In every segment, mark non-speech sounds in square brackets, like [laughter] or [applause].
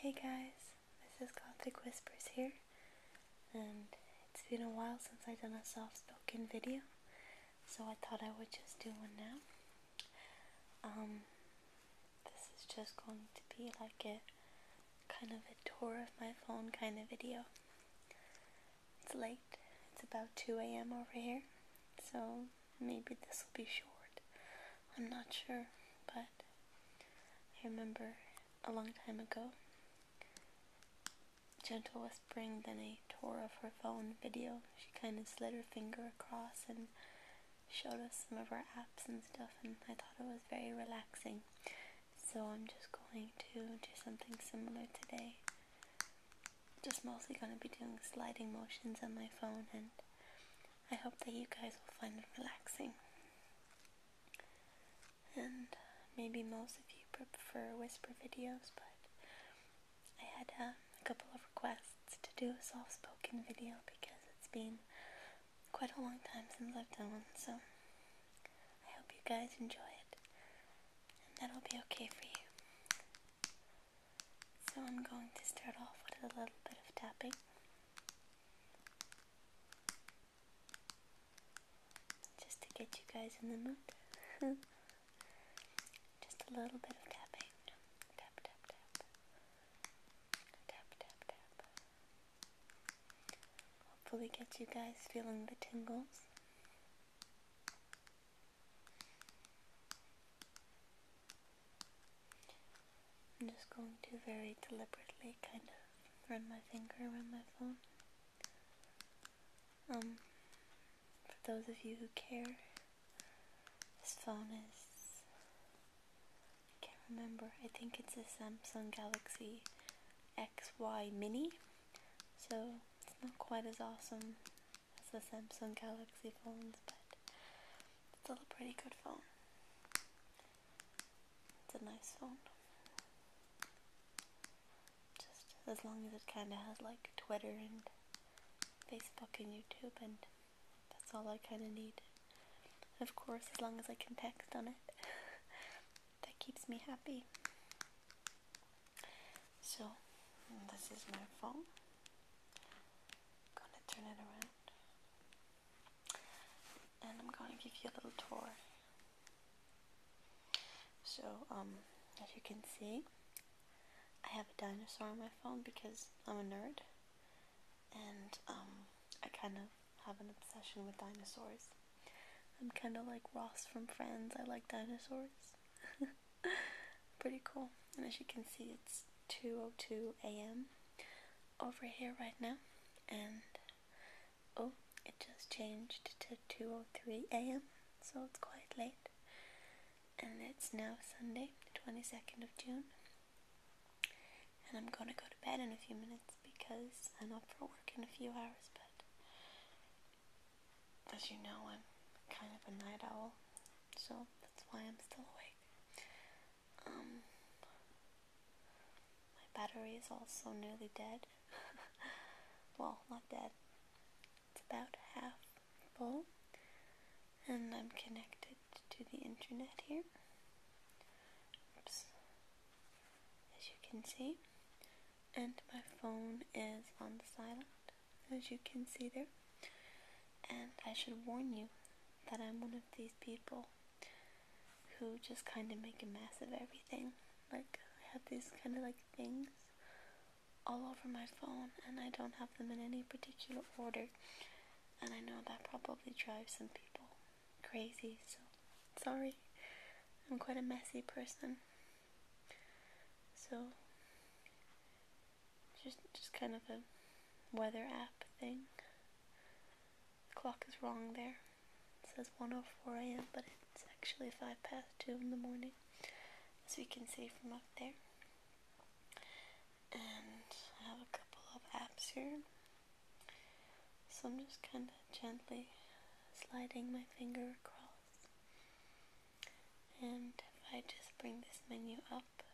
Hey guys, this is Gothic Whispers here, and it's been a while since I've done a soft spoken video, so I thought I would just do one now. Um, this is just going to be like a kind of a tour of my phone kind of video. It's late, it's about 2 a.m. over here, so maybe this will be short. I'm not sure, but I remember a long time ago, gentle whispering, then a tour of her phone video. She kind of slid her finger across and showed us some of her apps and stuff, and I thought it was very relaxing. So I'm just going to do something similar today. Just mostly going to be doing sliding motions on my phone and I hope that you guys will find it relaxing. And maybe most of you prefer whisper videos, but I had um, a couple of requests to do a soft spoken video because it's been quite a long time since I've done one, so I hope you guys enjoy it and that'll be okay for you. So I'm going to start off with a little bit of tapping. Just to get you guys in the mood. [laughs] Just a little bit of tapping. Tap, tap, tap. Tap, tap, tap. Hopefully, get you guys feeling the tingles. I'm just going to very deliberately kind of run my finger around my phone. Um, for those of you who care, this phone is. I can't remember. I think it's a Samsung Galaxy XY Mini. So it's not quite as awesome as a Samsung Galaxy phone, but it's still a pretty good phone. It's a nice phone. Just as long as it kind of has like Twitter and Facebook and YouTube, and that's all I kind of need. of course, as long as I can text on it, [laughs] that keeps me happy. So, this is my phone gonna turn it around and I'm gonna give you a little tour. So, um, as you can see, I have a dinosaur on my phone because I'm a nerd and um, I kind of have an obsession with dinosaurs. I'm kind of like Ross from Friends, I like dinosaurs. [laughs] Pretty cool. And as you can see, it's 2:02 a.m. over here right now, and oh, it just changed to 2:03 a.m. So it's quite late, and it's now Sunday, the 22nd of June, and I'm gonna go to bed in a few minutes because I'm up for work in a few hours. But as you know, I'm kind of a night owl, so that's why I'm still awake. Um, my battery is also nearly dead. [laughs] well, not dead. It's about half full, and I'm connected to the internet here. Oops. As you can see, and my phone is on the silent as you can see there. And I should warn you that I'm one of these people who just kind of make a mess of everything. Like, I have these kind of like things all over my phone, and I don't have them in any particular order. And I know that probably drives some people crazy, so sorry. I'm quite a messy person. So, just just kind of a weather app thing. The clock is wrong there. It says 1:04 a.m., but it's actually five past two in the morning, as we can see from up there. And I have a couple of apps here, so I'm just kind of gently sliding my finger across and if I just bring this menu up,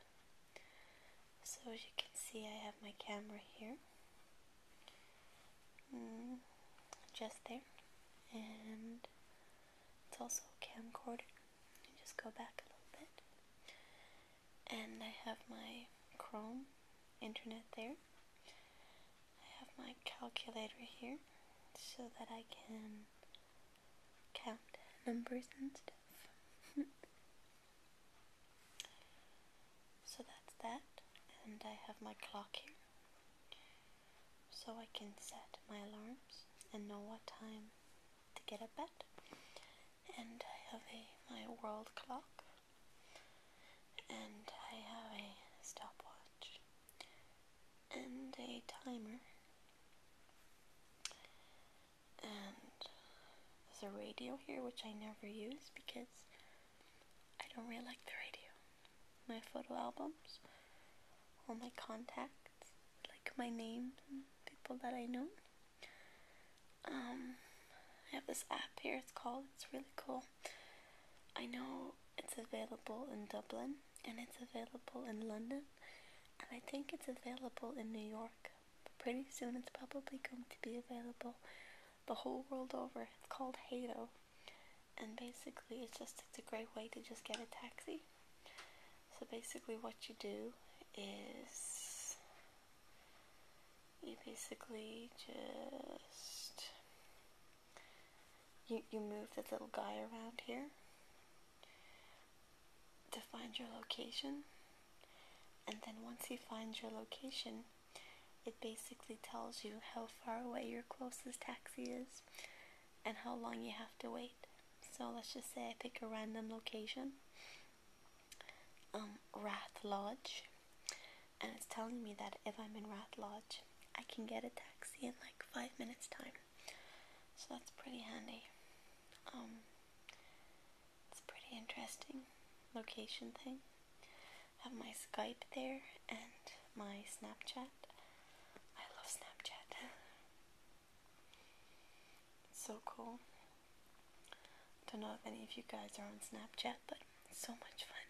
so as you can see, I have my camera here, mm, just there, and it's also a camcorder. You just go back a little bit, and I have my Chrome internet there. I have my calculator here so that I can count numbers and stuff. [laughs] so that's that. And I have my clock here. So I can set my alarms and know what time to get up at. And I have a my world clock. And I have a stopwatch. And a timer and there's a radio here which I never use because I don't really like the radio. My photo albums, all my contacts, like my names and people that I know. Um, I have this app here, it's called, it's really cool. I know it's available in Dublin and it's available in London and I think it's available in New York. pretty soon it's probably going to be available the whole world over. It's called Hato, and basically it's just it's a great way to just get a taxi. So basically, what you do is you basically just you you move the little guy around here to find your location and then once you find your location it basically tells you how far away your closest taxi is and how long you have to wait so let's just say I pick a random location um Rath Lodge and it's telling me that if I'm in Rath Lodge I can get a taxi in like 5 minutes time so that's pretty handy. Um, it's pretty interesting location thing. I have my Skype there and my Snapchat. I love Snapchat. so cool. Don't know if any of you guys are on Snapchat, but so much fun.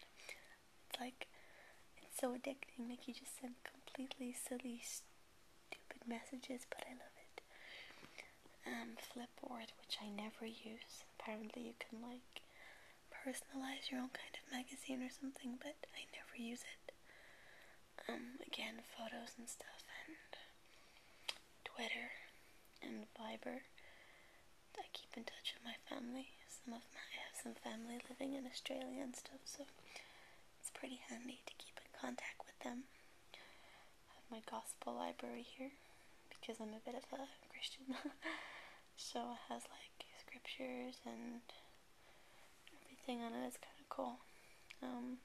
It's like it's so addicting. Like you just send completely silly, stupid messages, but I love it. Um, Flipboard, which I never use. Apparently, you can like personalize your own kind of magazine or something, but I never use it. Um, again, photos and stuff, and Twitter and Viber. I keep in touch with my family. Some of my I have some family living in Australia and stuff, so it's pretty handy to keep in contact with them. I have my gospel library here because I'm a bit of a Christian. [laughs] so it has like scriptures and everything on it. It's kind of cool. Um,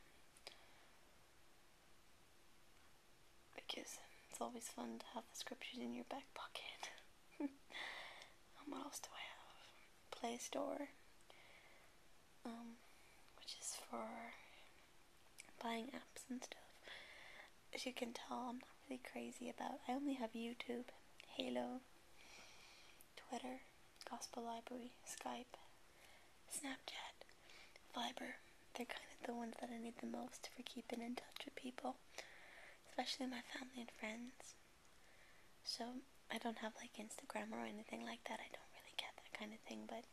because it's always fun to have the scriptures in your back pocket. [laughs] what else do I have? Play Store um, which is for buying apps and stuff. As you can tell, I'm not really crazy about. I only have YouTube, Halo, Twitter, Gospel Library, Skype, Snapchat, Viber. They're kind of the ones that I need the most for keeping in touch with people, especially my family and friends. So I don't have like Instagram or anything like that. I don't really get that kind of thing, but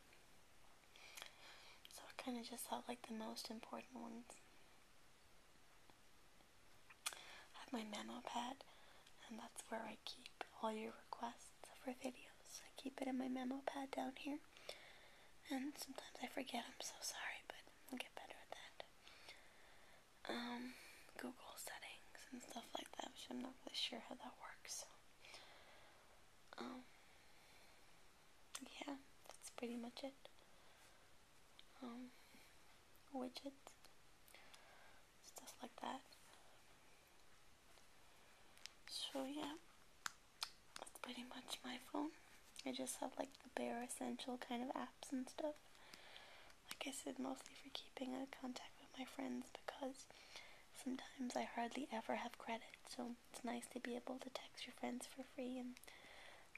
so I kind of just thought like the most important ones. I have my memo pad, and that's where I keep all your requests for videos. I keep it in my memo pad down here, and sometimes I forget. I'm so sorry, but I'll get better at that. Um, Google settings and stuff like that, which I'm not really sure how that works. So, um, yeah, that's pretty much it. Um, widgets, stuff like that. So yeah, that's pretty much my phone. I just have like the bare essential kind of apps and stuff like I said, mostly for keeping in contact with my friends because sometimes I hardly ever have credit, so it's nice to be able to text your friends for free and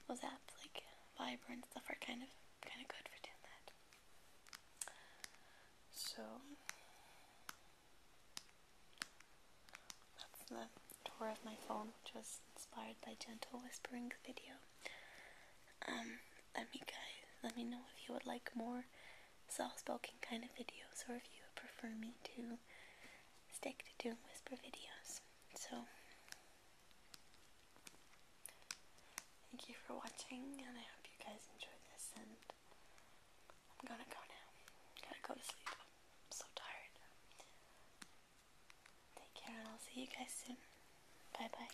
those apps like Viber and stuff are kind of kind of good for doing that. So that's the tour of my phone, which was inspired by Gentle Whispering's video. Um, let me guys, let me know if you would like more soft spoken kind of videos, or if you prefer me to stick to doing whisper videos. So, thank you for watching, and I hope you guys enjoyed this. And I'm gonna go now. Gotta go to sleep. I'm so tired. Take care, and I'll see you guys soon. Bye bye.